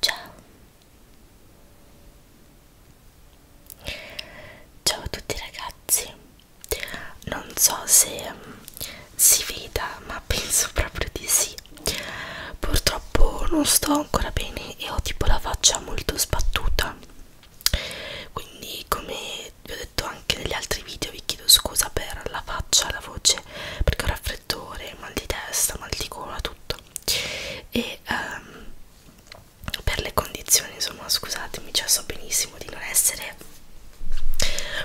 Ciao. Ciao a tutti ragazzi. Non so se mm, si veda, ma penso proprio di sì. Purtroppo non sto ancora bene e ho tipo la faccia molto sbattuta. Quindi come come vi ho detto anche negli altri video vi chiedo scusa per la faccia, la voce perché ho raffreddore, mal di testa, mal di gola, tutto e um, per le condizioni insomma scusatemi, cioè so benissimo di non essere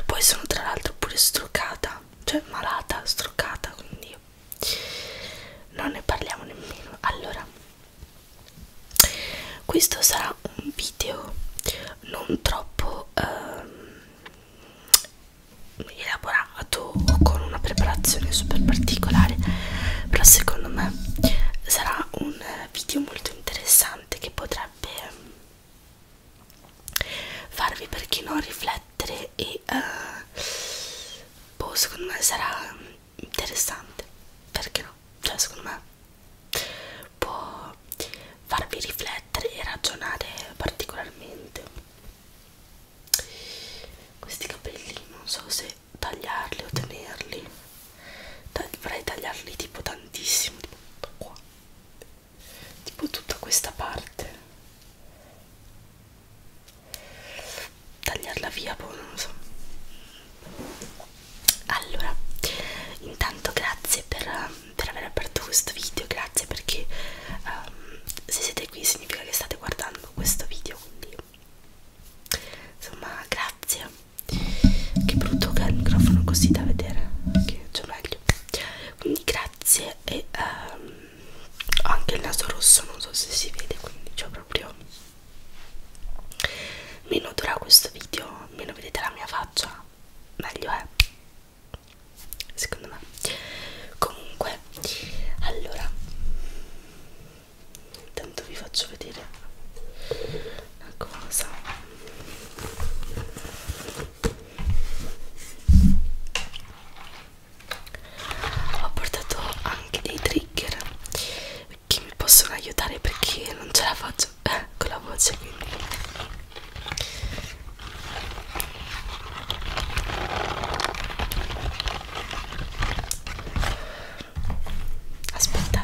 poi sono tra l'altro pure struccata cioè malata, struccata quindi non ne parliamo nemmeno allora questo sarà un video non troppo ehm, elaborato o con una preparazione super particolare però secondo me sarà un video molto interessante che potrebbe farvi perché non riflettere e eh, boh secondo me sarà interessante perché no cioè secondo me può farvi riflettere e ragionare particolarmente questi capelli non so se tagliarli o tenerli dovrei tagliarli tipo tantissimo tipo tutto qua tipo tutta questa parte tagliarla via poi boh, non lo so allora intanto grazie per, per aver aperto questo video grazie perché um, se siete qui significa che state guardando questo video quindi insomma grazie che brutto che è il microfono così da vedere che c'è meglio quindi grazie e um, ho anche il naso rosso non so se si vede quindi c'ho proprio meno dura questo video meno vedete la mia faccia meglio è secondo me comunque allora intanto vi faccio vedere una cosa ho portato anche dei trigger che mi possono aiutare perché non ce la faccio eh, con la voce quindi aspettate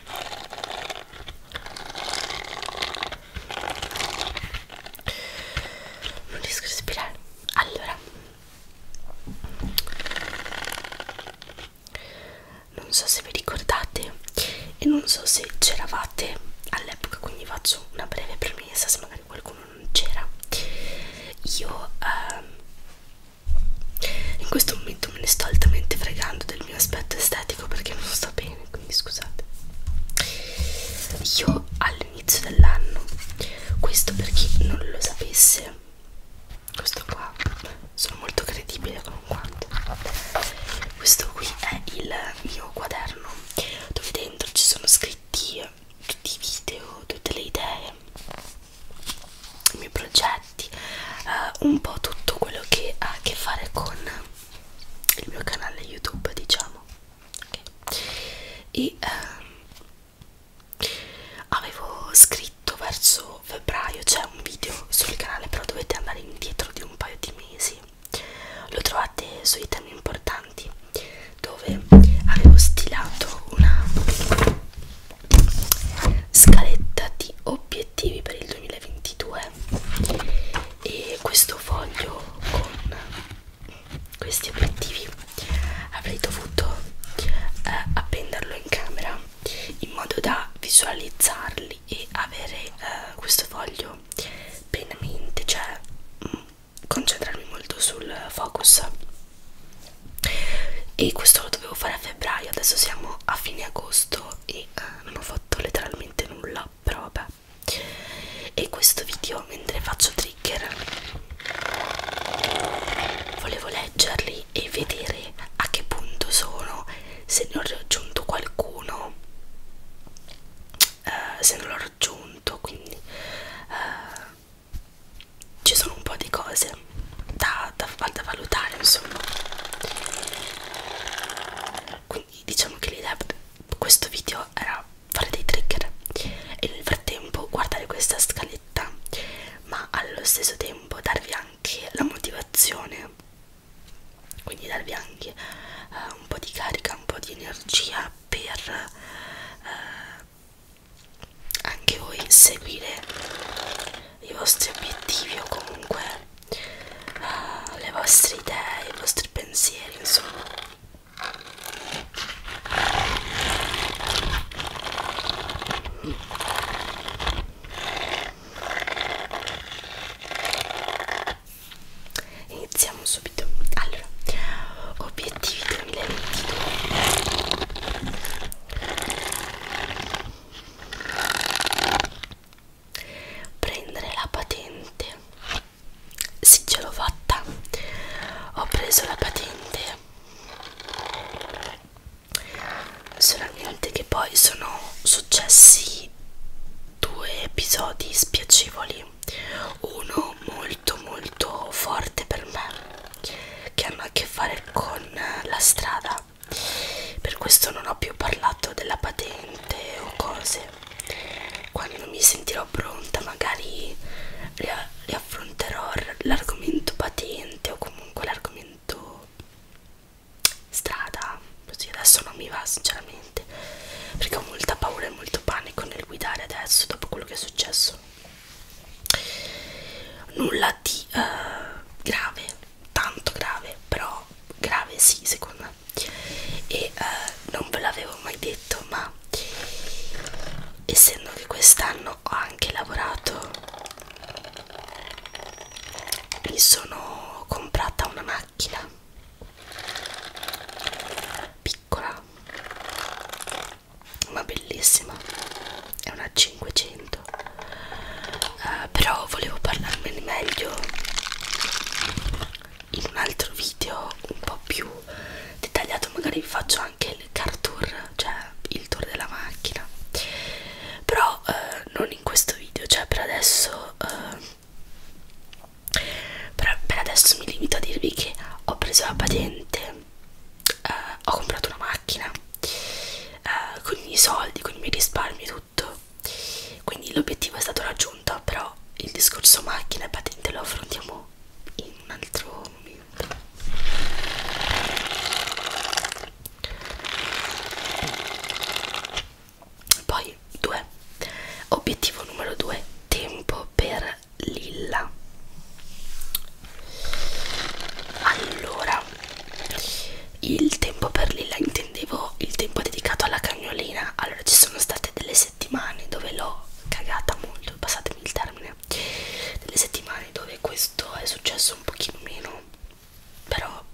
non riesco a respirare allora non so se vi ricordate e non so se c'eravate all'epoca quindi faccio una breve premessa se magari qualcuno non c'era io ehm, in questo momento me ne sto altamente fregando del mio aspetto estetico perché non sto bene quindi scusate io all'inizio dell'anno questo per chi non lo sapesse questo qua sono molto credibile con quanto questo qui è il mio quaderno dove dentro ci sono scritti tutti i video tutte le idee i miei progetti, eh, un po' tutto quello che ha a che fare con il mio canale YouTube, diciamo. Okay. E eh, avevo scritto verso febbraio, c'è un video sul canale, però dovete andare indietro di un paio di mesi. Lo trovate sui temi importanti dove avevo stilato una scaletta di obiettivi per il 2022 e questo foglio con questi obiettivi avrei dovuto eh, appenderlo in camera in modo da visualizzarli e avere eh, questo foglio pienamente cioè mh, mm, concentrarmi molto sul focus e questo lo dovevo fare a febbraio adesso siamo a fine agosto e uh, non ho fatto letteralmente nulla però vabbè e questo video mentre faccio trigger volevo leggerli e vedere a che punto sono se ne ho raggiunto qualcuno uh, se non l'ho raggiunto quindi uh, ci sono un po' di cose da, da, da valutare insomma quindi diciamo che l'idea di questo video era fare dei trigger e nel frattempo guardare questa scaletta ma allo stesso tempo darvi anche la motivazione quindi darvi anche eh, un po' di carica un po' di energia per eh, anche voi seguire i vostri obiettivi o comunque uh, le vostre idee, i vostri pensieri, insomma. Iniziamo subito. Allora, obiettivi 2022 prendere la patente sì ce l'ho fatta ho preso la patente solamente che poi sono successi due episodi spiacevoli uno molto molto forte per me che hanno a che fare con la strada per questo non ho più parlato della patente o cose quando mi sentirò pronta magari riaffronterò l'argomento patente o comunque l'argomento strada così adesso non mi va sinceramente perché ho molta paura e molto panico nel guidare adesso dopo quello che è successo nulla di uh, grave, tanto grave, però grave sì secondo me e uh, non ve l'avevo mai detto ma essendo che quest'anno ho anche lavorato mi sono comprata una macchina piccola ma bellissima è una 500 uh, eh, però volevo parlarmene meglio in un altro video un po' più dettagliato magari vi faccio anche il car tour cioè il tour della macchina però uh, non in questo video cioè per adesso uh, per, per adesso mi limito a dirvi che ho preso la patente Uh, ho comprato una macchina eh, con i miei soldi, con i miei risparmi e tutto quindi l'obiettivo è stato raggiunto però il discorso macchina e patente lo affrontiamo in un altro momento poi 2 obiettivo numero 2 tempo per lilla allora il tempo per lilla intendevo il tempo dedicato alla cagnolina allora ci sono state delle settimane dove l'ho cagata molto passatemi il termine delle settimane dove questo è successo un pochino meno però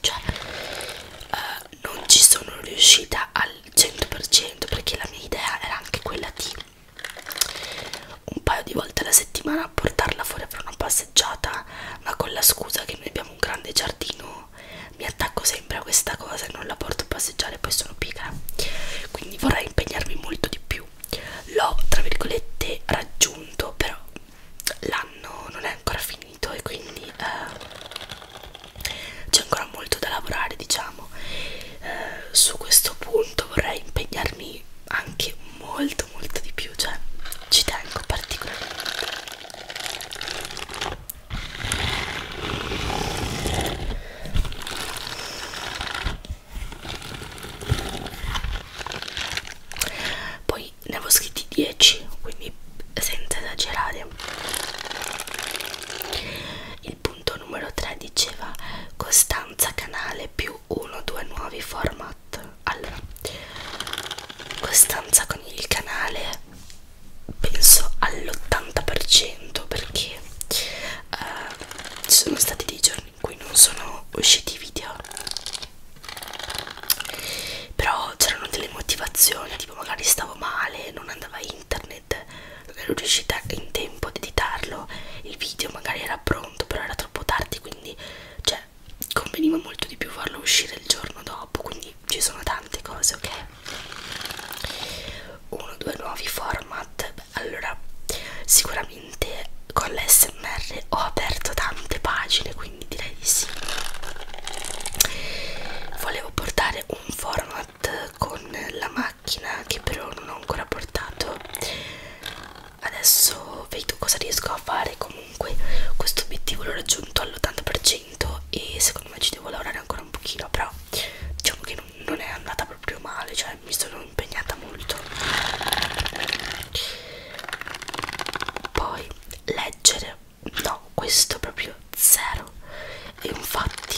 cioè eh, non ci sono riuscita al 100% perché la mia idea era anche quella di un paio di volte alla settimana a portarla fuori per una passeggiata, ma con la scusa che noi abbiamo un grande giardino mi attacco sempre a questa cosa e non la porto a passeggiare, poi sono pigra. Quindi vorrei impegnarmi molto di più. L'ho, tra virgolette, raggiunto, però l'anno non è ancora finito e quindi eh, c'è ancora molto da lavorare, diciamo eh, su questo punto vorrei impegnarmi anche molto molto di più cioè ci tengo particolarmente poi ne avevo scritti 10 quindi senza esagerare il punto numero 3 diceva costanza canale più 1 2 nuovi format allora costanza con il canale penso all'80% perché uh, eh, ci sono stati dei giorni in cui non sono usciti video però c'erano delle motivazioni tipo magari stavo male non andava internet internet non ero riuscita in tempo ad editarlo il video magari era pronto però era troppo tardi quindi cioè conveniva molto di più farlo uscire il giorno dopo quindi ci sono tante cose ok uno due nuovi format Beh, allora sicuramente con l'SMR ho aperto tante pagine quindi direi di sì volevo portare un format con la, macchina che però non ho ancora portato adesso vedo cosa riesco a fare comunque questo obiettivo l'ho raggiunto all'80% e secondo me ci devo lavorare ancora un pochino però diciamo che non, non è andata proprio male cioè mi sono impegnata molto poi leggere no questo proprio zero e infatti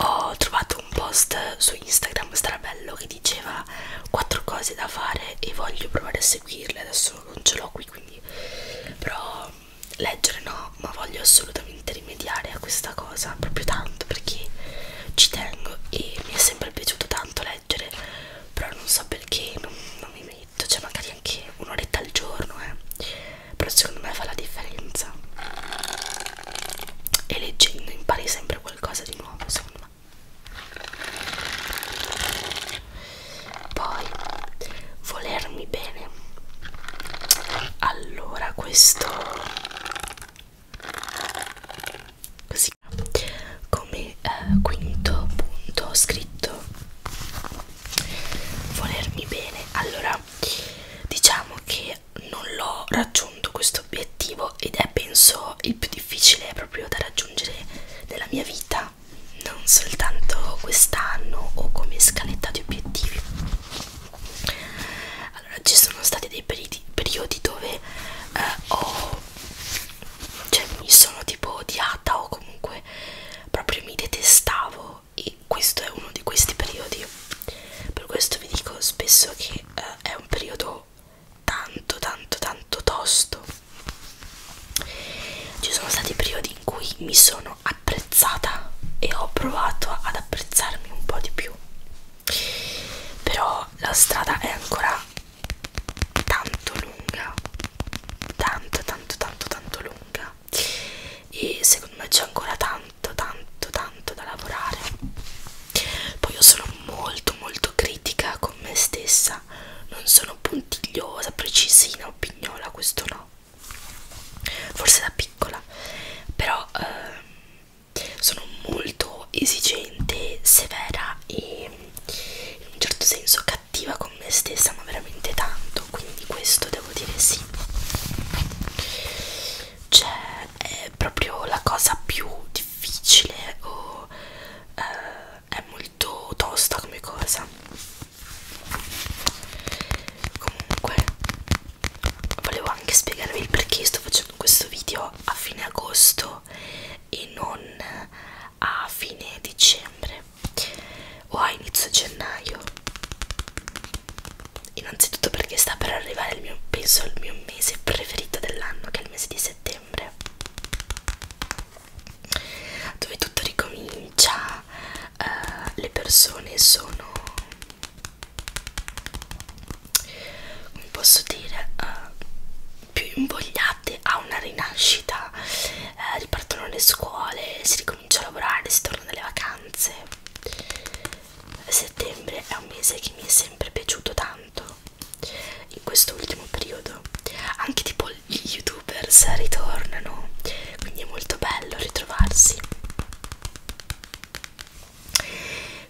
ho trovato un post su Instagram strabello che diceva quattro cose da fare e voglio provare a seguirle adesso non ce l'ho qui quindi però leggere no ma voglio assolutamente rimediare a questa cosa proprio tanto perché ci tengo e mi è sempre piaciuto tanto leggere però non so perché non, non mi metto cioè magari anche un'oretta al giorno eh però secondo me fa la differenza e leggendo impari sempre qualcosa di nuovo secondo me poi volermi bene allora questo così come eh, quinto punto ho scritto volermi bene allora allora diciamo che non l'ho raggiunto questo obiettivo ed è penso il più difficile proprio da raggiungere nella mia vita non soltanto quest'anno o come scaletta di obiettivi allora ci sono stati dei periodi, periodi dove eh, ho cioè mi sono tipo odiata o comunque proprio mi detestavo e questo è uno di questi periodi per questo vi dico spesso che eh, è un periodo tanto tanto tanto tosto ci sono stati periodi in cui mi sono apprezzata e ho provato ad apprezzarmi un po' di più però la strada è ancora tanto lunga tanto tanto tanto tanto lunga e secondo me c'è ancora tanto tanto tanto da lavorare poi io sono molto molto critica con me stessa non sono puntigliosa precisina o pignola questo no forse da piccola però eh, sono molto esigente severa e in un certo senso cattiva con me stessa ma veramente tanto quindi questo devo dire sì cioè è proprio la cosa più difficile o eh, è molto tosta come cosa comunque volevo anche spiegarvi il perché sto facendo questo video a fine agosto e non a fine dicembre o a inizio gennaio innanzitutto perché sta per arrivare il mio penso il mio mese preferito dell'anno che è il mese di settembre dove tutto ricomincia uh, le persone sono come posso dire uh, più invogliate a una rinascita eh, ripartono le scuole si ricomincia comincio a lavorare, si torna dalle vacanze. Settembre è un mese che mi è sempre piaciuto tanto. In questo ultimo periodo anche tipo gli youtubers ritornano, quindi è molto bello ritrovarsi.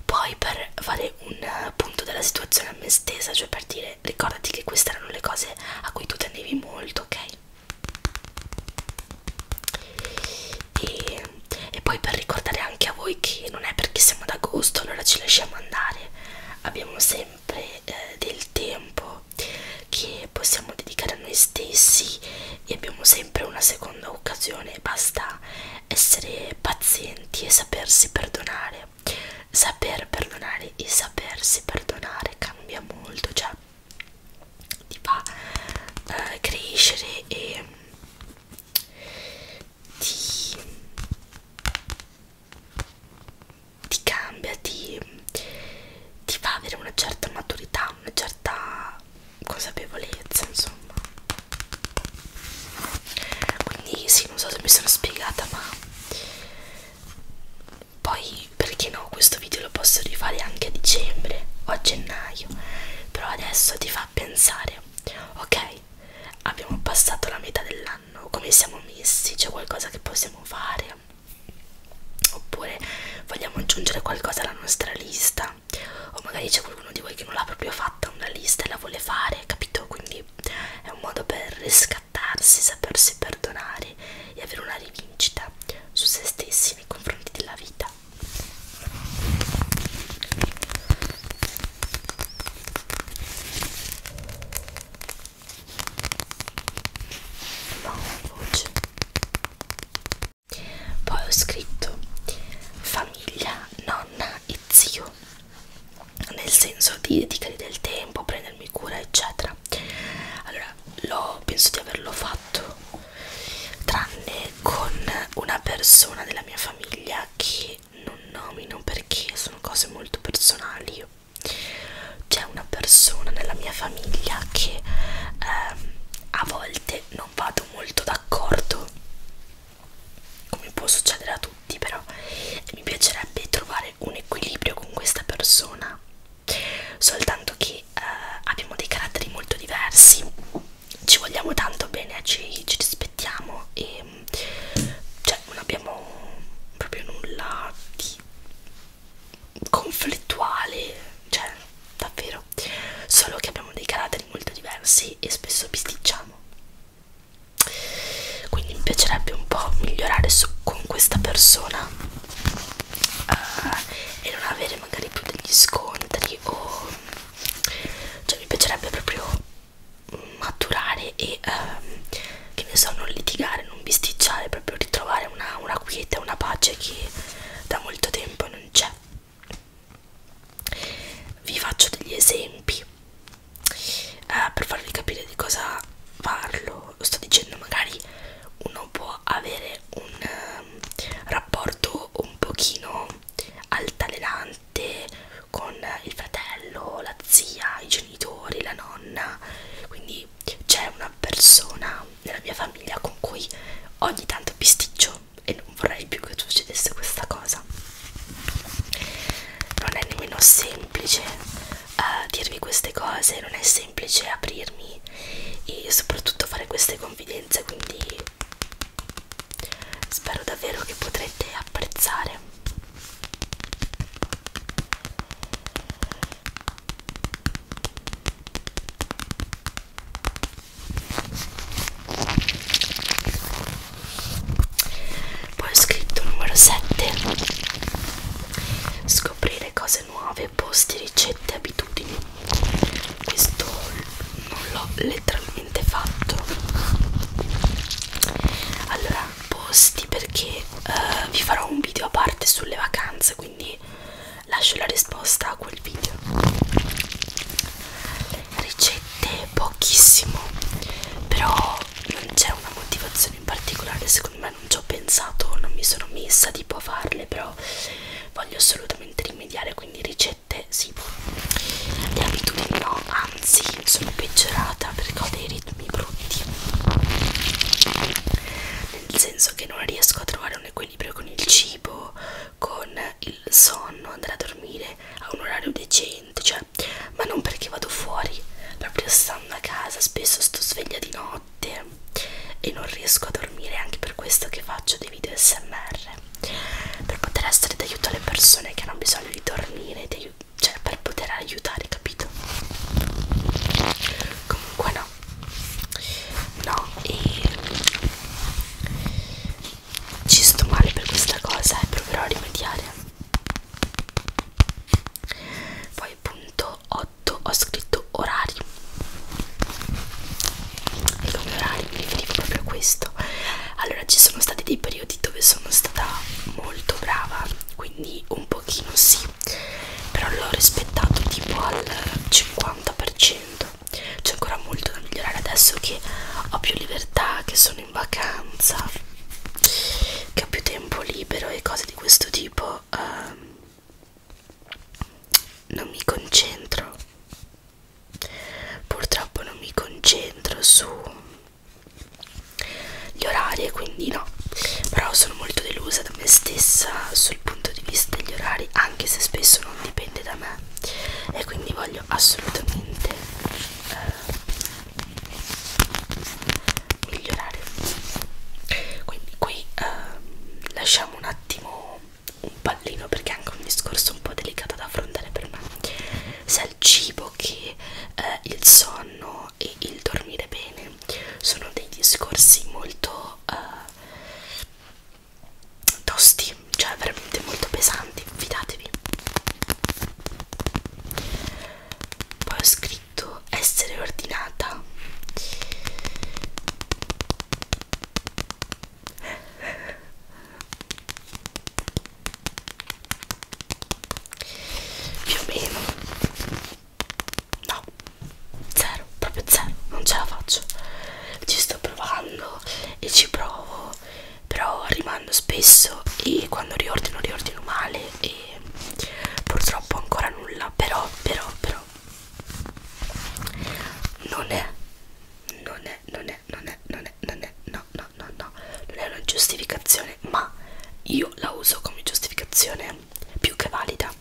Poi per fare un punto della situazione a me stessa, cioè per dire ricordati che queste erano le cose a cui tu tenevi molto, ok? e, e poi per ricordare anche a voi che non è perché siamo ad agosto allora ci lasciamo andare abbiamo sempre eh, del tempo che possiamo dedicare a noi stessi e abbiamo sempre una seconda occasione basta essere pazienti e sapersi perdonare saper perdonare e sapersi perdonare cambia molto cioè ti fa eh, crescere e ti, ti cambia, ti, ti fa avere una certa maturità, una certa consapevolezza, insomma. Quindi sì, non so se mi sono spiegata, ma poi perché no questo video lo posso rifare anche a dicembre o a gennaio però adesso ti fa pensare ok abbiamo passato la metà dell'anno come siamo messi c'è qualcosa che possiamo fare oppure vogliamo aggiungere qualcosa alla nostra lista o magari c'è qualcuno di voi che non l'ha proprio fatta una lista e la vuole fare capito quindi è un modo per riscattarsi sapersi perdonare e avere una rivincita su se stessi giudizi nei confronti della vita. Voce. Poi ho scritto famiglia, nonna e zio, nel senso di dedicargli del tempo, prendermi cura, eccetera allora l'ho penso di averlo fatto tranne con una persona della mia famiglia che non nomino perché sono cose molto personali c'è una persona nella mia famiglia che ehm, a volte non vado molto d'accordo come può succedere a tutti però mi piacerebbe trovare un equilibrio con questa persona soltanto che eh, abbiamo dei caratteri molto diversi ci vogliamo tanto bene eh, ci, ci rispettiamo e cioè non abbiamo proprio nulla di conflittuale cioè davvero solo che abbiamo dei caratteri molto diversi e spesso bisticciamo quindi mi piacerebbe un po' migliorare su, con questa persona uh, e non avere magari più degli scontri o cioè mi piacerebbe proprio maturare e um, che ne so non litigare non bisticciare proprio ritrovare una, una quiete una pace che da molto tempo non c'è vi faccio degli esempi uh, per farvi capire di cosa parlo sto dicendo magari uno può avere un um, rapporto un pochino altalenante con il fratello, la zia, i genitori, la nonna, quindi c'è una persona nella mia famiglia con cui ogni tanto bisticcio e non vorrei più che succedesse questa cosa. Non è nemmeno semplice uh, dirvi queste cose, non è semplice aprirmi e soprattutto fare queste confidenze, quindi spero davvero che potrete apprezzare. Poi ho scritto numero 7 scoprire cose cose nuove, posti, ricette, abitudini. Questo non l'ho letteralmente fatto. Allora, posti perché uh, vi farò un video a parte sulle vacanze, quindi lascio la risposta a quel video. Ricette pochissimo, però non c'è una motivazione in particolare, secondo me vabbè non ci ho pensato non mi sono messa tipo a farle però voglio assolutamente rimediare quindi ricette sì le abitudini no anzi sono peggiorata perché ho dei ritmi brutti nel senso che non riesco a trovare un equilibrio con il cibo con il sonno andare a dormire a un orario decente cioè ma non perché vado fuori proprio stando a casa spesso sto sveglia di notte notte e non riesco a dormire, anche per questo che faccio dei video smr per poter essere d'aiuto alle persone che hanno bisogno di dormire, di cioè per poter aiutare, capito? Comunque no, no, e ci sto male per questa cosa e eh, proverò a rimediare. Poi, punto 8 sotto ho scritto orari e come orari mi riferivo proprio a questo allora ci sono stati dei periodi dove sono stata molto brava quindi un pochino sì però l'ho rispettato tipo al 50% c'è ancora molto da migliorare adesso che ho più libertà che sono in vacanza che ho più tempo libero e cose di questo tipo eh, non mi concentro purtroppo non mi concentro sugli orari e quindi no però sono molto delusa da me stessa sul punto di vista degli orari anche se spesso non dipende da me e quindi voglio assolutamente eh, migliorare quindi qui ehm, lasciamo un attimo un pallino perché è anche un discorso un po' delicato da affrontare per me sia il cibo che eh, il sonno e il dormire bene sono dei discorsi molto eh, tosti cioè veramente molto pesanti fidatevi poi ho scritto scritto essere ordinata più o meno no zero proprio zero non ce la faccio ci sto provando e ci provo però rimando spesso e quando riordino riordino male e purtroppo ancora nulla però però però non è non è non è non è non è non è no no no no non è una giustificazione ma io la uso come giustificazione più che valida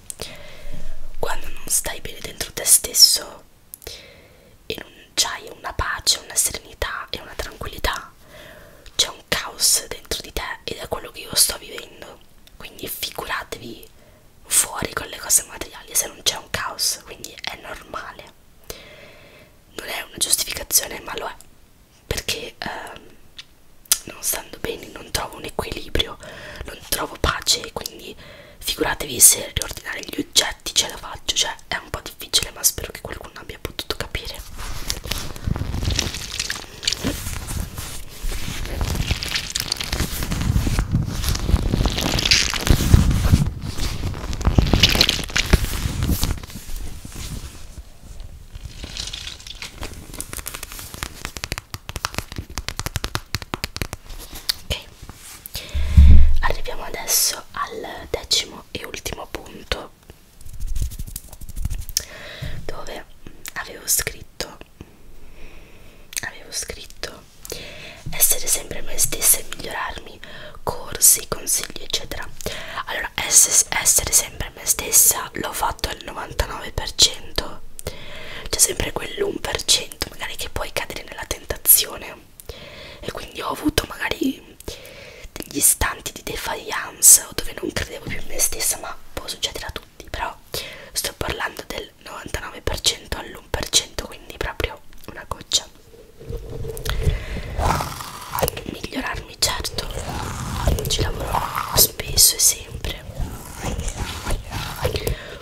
quando non stai bene dentro te stesso e non c'hai una pace una serenità e una tranquillità c'è un caos dentro di te ed è quello che io sto vivendo quindi figuratevi fuori con le cose materiali se non c'è un caos quindi è normale non è una giustificazione ma lo è perché ehm, non stando bene non trovo un equilibrio non trovo pace quindi figuratevi se riordinare gli oggetti ce la faccio cioè è un po' difficile ma spero che qualcuno abbia potuto capire Ok, arriviamo adesso al decimo e ultimo punto dove avevo scritto avevo scritto essere sempre me stessa e migliorarmi corsi consigli eccetera allora essere sempre me stessa l'ho fatto al 99% c'è sempre quell'1% magari che puoi cadere nella tentazione e quindi ho avuto magari degli istanti di defiance dove non credevo più in me stessa ma può succedere a tutti però sto parlando del 99% all'1% quindi proprio una goccia migliorarmi certo ci lavoro spesso e sempre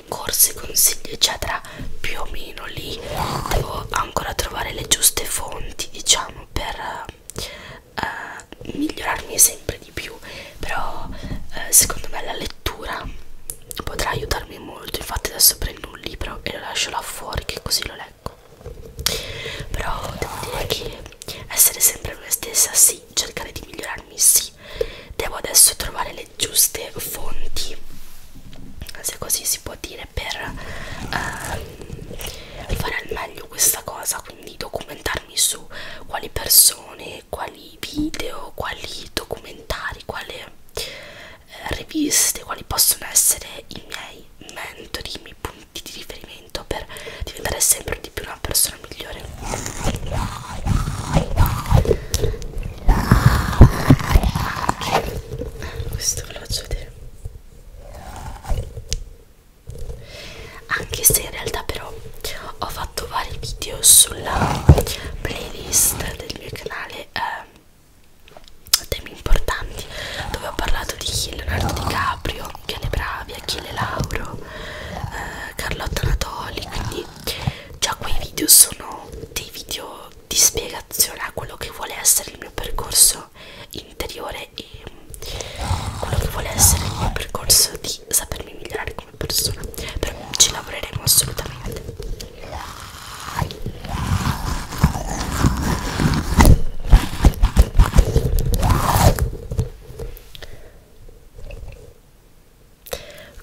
corsi consigli eccetera più o meno lì devo ancora trovare le giuste fonti diciamo per uh, migliorarmi sempre di più però uh, secondo me la lettura potrà aiutarmi molto infatti adesso prendo un libro e lo lascio là fuori che così lo leggo però devo dire che essere sempre me stessa sì cercare di migliorarmi sì devo adesso trovare le giuste fonti se così si può dire per uh, fare al meglio questa cosa quindi anni documentarmi su quali persone, quali video, quali documentari, quali eh, riviste, quali possono essere i miei mentori, i miei punti di riferimento per diventare sempre di più una persona migliore. Okay. Questo ve lo faccio vedere anche se in realtà però ho fatto vari video sulla playlist del mio canale eh, temi importanti dove ho parlato di Leonardo Di Caprio, Piale Bravi, Achille Lauro, eh, Carlotta Natoli, quindi già quei video sono dei video di spiegazione a quello che vuole essere il mio percorso interiore e quello che vuole essere il mio percorso di sapermi migliorare come persona però ci lavoreremo assolutamente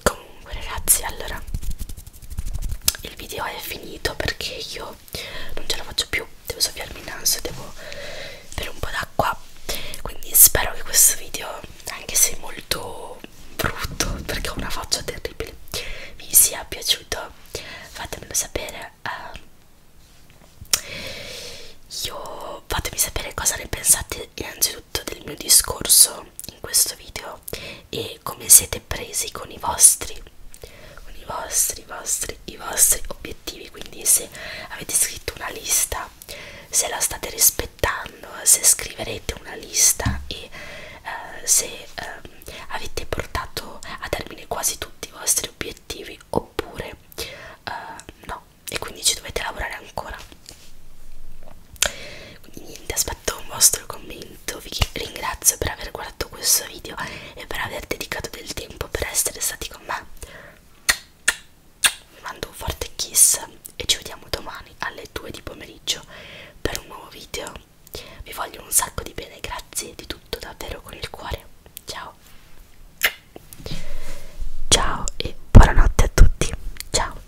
comunque ragazzi allora il video è finito perché io non ce la faccio più devo soffiarmi il naso devo bere un po' d'acqua quindi spero che questo video anche se molto brutto perché ho una faccia terribile vi sia piaciuto fatemelo sapere uh, io fatemi sapere cosa ne pensate innanzitutto del mio discorso in questo video e come siete presi con i vostri con i vostri, i vostri, i vostri obiettivi. Quindi, se avete scritto una lista, se la state rispettando, se scriverete una lista e eh, se eh, avete portato a termine quasi tutti i vostri obiettivi oppure eh, no, e quindi ci dovete lavorare ancora. Quindi niente, aspetto un vostro commento, vi ringrazio per aver guardato guardato questo video e per aver dedicato del tempo per essere stati con me. Vi mando un forte kiss e ci vediamo domani alle 2 di pomeriggio per un nuovo video. Vi voglio un sacco di bene, grazie di tutto davvero con il cuore. Ciao. Ciao e buonanotte a tutti. Ciao.